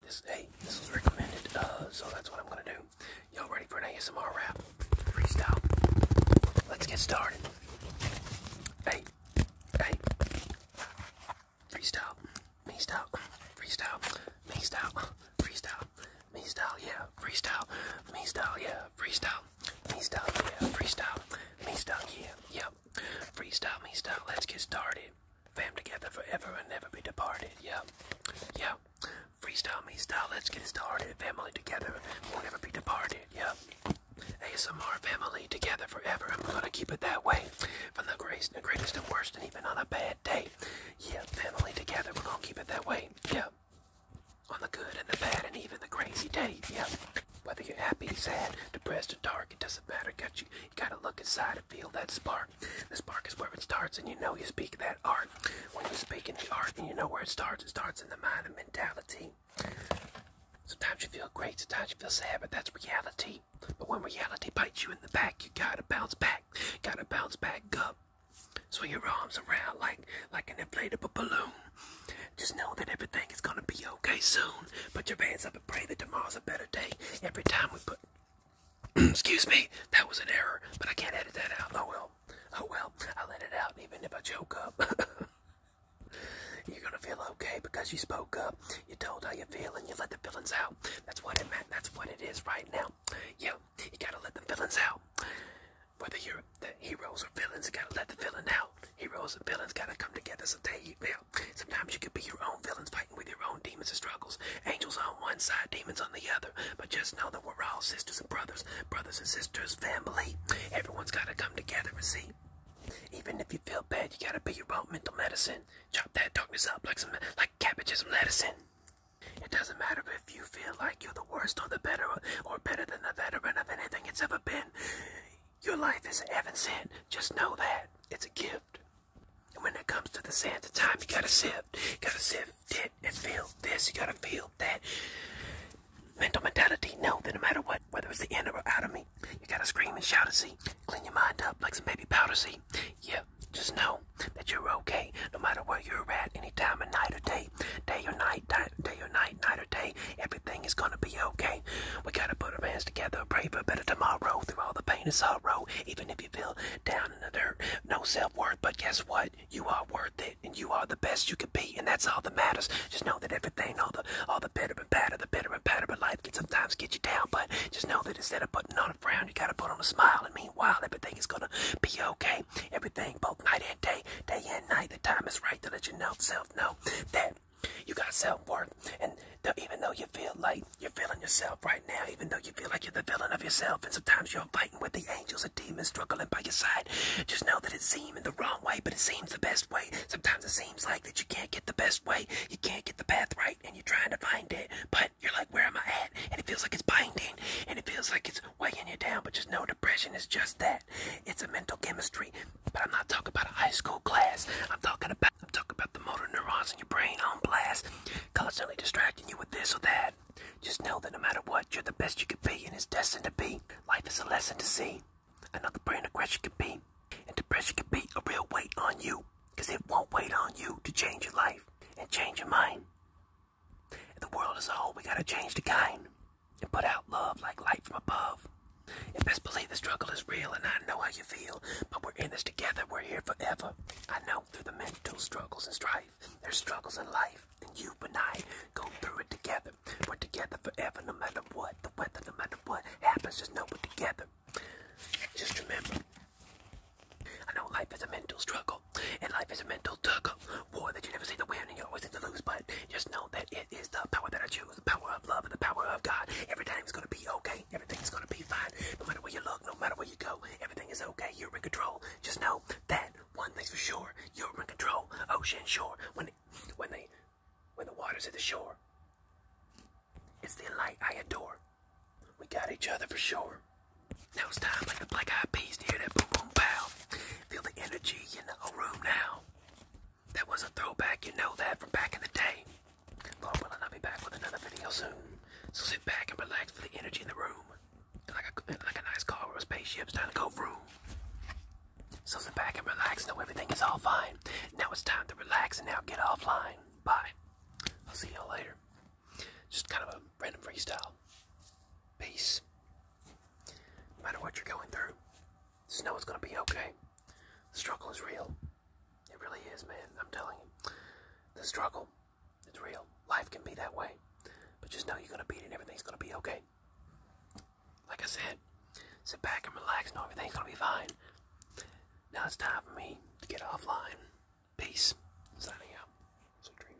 This hey, this was recommended, uh, so that's what I'm gonna do. Y'all ready for an ASMR rap? Freestyle. Let's get started. Hey, hey. Freestyle, me style, freestyle, me style, freestyle, me style, yeah, freestyle, me style, yeah, freestyle, me style, yeah, freestyle, me style, yeah, yep, freestyle, me style. Let's get started. Family together forever and never be departed. Yeah, yeah. Freestyle me style. Let's get started. Family together we will never be departed. Yeah. ASMR family together forever. I'm gonna keep it that way. From the greatest, the greatest and worst, and even on a bad day. Yeah, family together. We're gonna keep it that way. Yeah. On the good and the bad and even the crazy day. Yeah. Whether you're happy, sad, depressed, or dark, it doesn't matter. Got you, you gotta look inside and feel that spark. The spark is where it starts, and you know you speak that art. When you speak in the art, and you know where it starts, it starts in the mind and mentality. Sometimes you feel great, sometimes you feel sad, but that's reality. But when reality bites you in the back, you gotta bounce back. You gotta bounce back up. Swing your arms around like like an inflatable balloon. Just know that everything is gonna be okay soon. Put your pants up and pray that tomorrow's a better day. Every time we put. Excuse me, that was an error, but I can't edit that out. Oh well. Oh well, I let it out even if I choke up. You're gonna feel okay because you spoke up. You told how you feel and you let the feelings out. That's what it meant. That's what it is right now. Yo, you gotta let the feelings out. Whether you're the heroes or villains, you gotta let the feeling out. Heroes and villains gotta come together. Sometimes you, sometimes you could be your own villains fighting with your own demons and struggles. Angels on one side, demons on the other. But just know that we're all sisters and brothers, brothers and sisters, family. Everyone's gotta come together and see. Even if you feel bad, you gotta be your own mental medicine. Chop that darkness up like some like cabbage and some lettuce It doesn't matter if you feel like you're the worst or the better or better than the veteran of anything it's ever been. Your life isn't heaven sent. Just know that. It's a gift. And when it comes to the sands of time, you gotta sift. You gotta sift it and feel this. You gotta feel that. Mental mentality, know that no matter what, whether it's the inner or out of me, you gotta scream and shout and see. Clean your mind up like some baby powder, see? Yeah, just know that you're okay, no matter where you're at, any time of night or day, day or night, day or night, night or day. Every everything is gonna be okay. We gotta put our hands together, pray for a better tomorrow through all the pain and sorrow. Even if you feel down in the dirt, no self worth, but guess what? You are worth it, and you are the best you could be, and that's all that matters. Just know that everything, all the all the bitter and better, the bitter and better, but life can sometimes get you down. But just know that instead of putting on a frown, you gotta put on a smile, and meanwhile, everything is gonna be okay. Everything, both night and day, day and night, the time is right to let your know, self know that you got self-worth, and even though you feel like you're feeling yourself right now, even though you feel like you're the villain of yourself, and sometimes you're fighting with the angels and demons struggling by your side, just know that it seems the wrong way, but it seems the best way. Sometimes it seems like that you can't get the best way, you can't get the path right, and you're trying to find it, but you're like, where am I at? And it feels like it's binding, and it feels like it's weighing you down, but just know depression is just that. It's a mental chemistry, but I'm not talking about a high school class. I'm talking about I'm talking about the motor neurons in your brain on blast, constantly distracting you with this or that. Just know that no matter what, you're the best you could be, and it's destined to be. Life is a lesson to see. Another brain aggression can be, and depression can be a real weight on you, because it won't wait on you to change your life and change your mind. the world is a we gotta change the kind and put out love like light from above. And best believe the struggle is real, and I know how you feel, but we're in this together. We're here forever. I know through the mental struggles and strife, there's struggles in life, and you and I go through it together. We're together forever, no matter what the weather, no matter what happens. Just know we're together. Just remember. I know life is a mental struggle, and life is a mental struggle war that you never see the win and you always seem to lose. But just know that it is the power that I choose, the power of love and the power of God. Every time Everything's gonna be okay. Everything's gonna be fine. No matter where you look, no matter where you go, everything is okay. You're in control. Just know that one thing's for sure. You're in control. Ocean shore. When when they when the waters hit the shore, it's the light I adore. We got each other for sure. Now it's time like the black eyed peas to hear that boop on pow. Feel the energy in the room now. That was a throwback, you know that, from back in the day. Lord willing, I'll be back with another video soon. So sit back and relax for the energy in the room. Like a, like a nice car or a spaceship's trying to go through. So sit back and relax, know everything is all fine. Now it's time to relax and now get offline. Bye. I'll see y'all later. Just kind of a random freestyle peace. No matter what you're going through, just know it's gonna be okay. The struggle is real. It really is, man. I'm telling you. The struggle, it's real. Life can be that way. But just know you're gonna beat it everything's gonna be okay. Like I said, sit back and relax, know everything's gonna be fine. Now it's time for me to get offline. Peace. Signing out. Sweet dreams.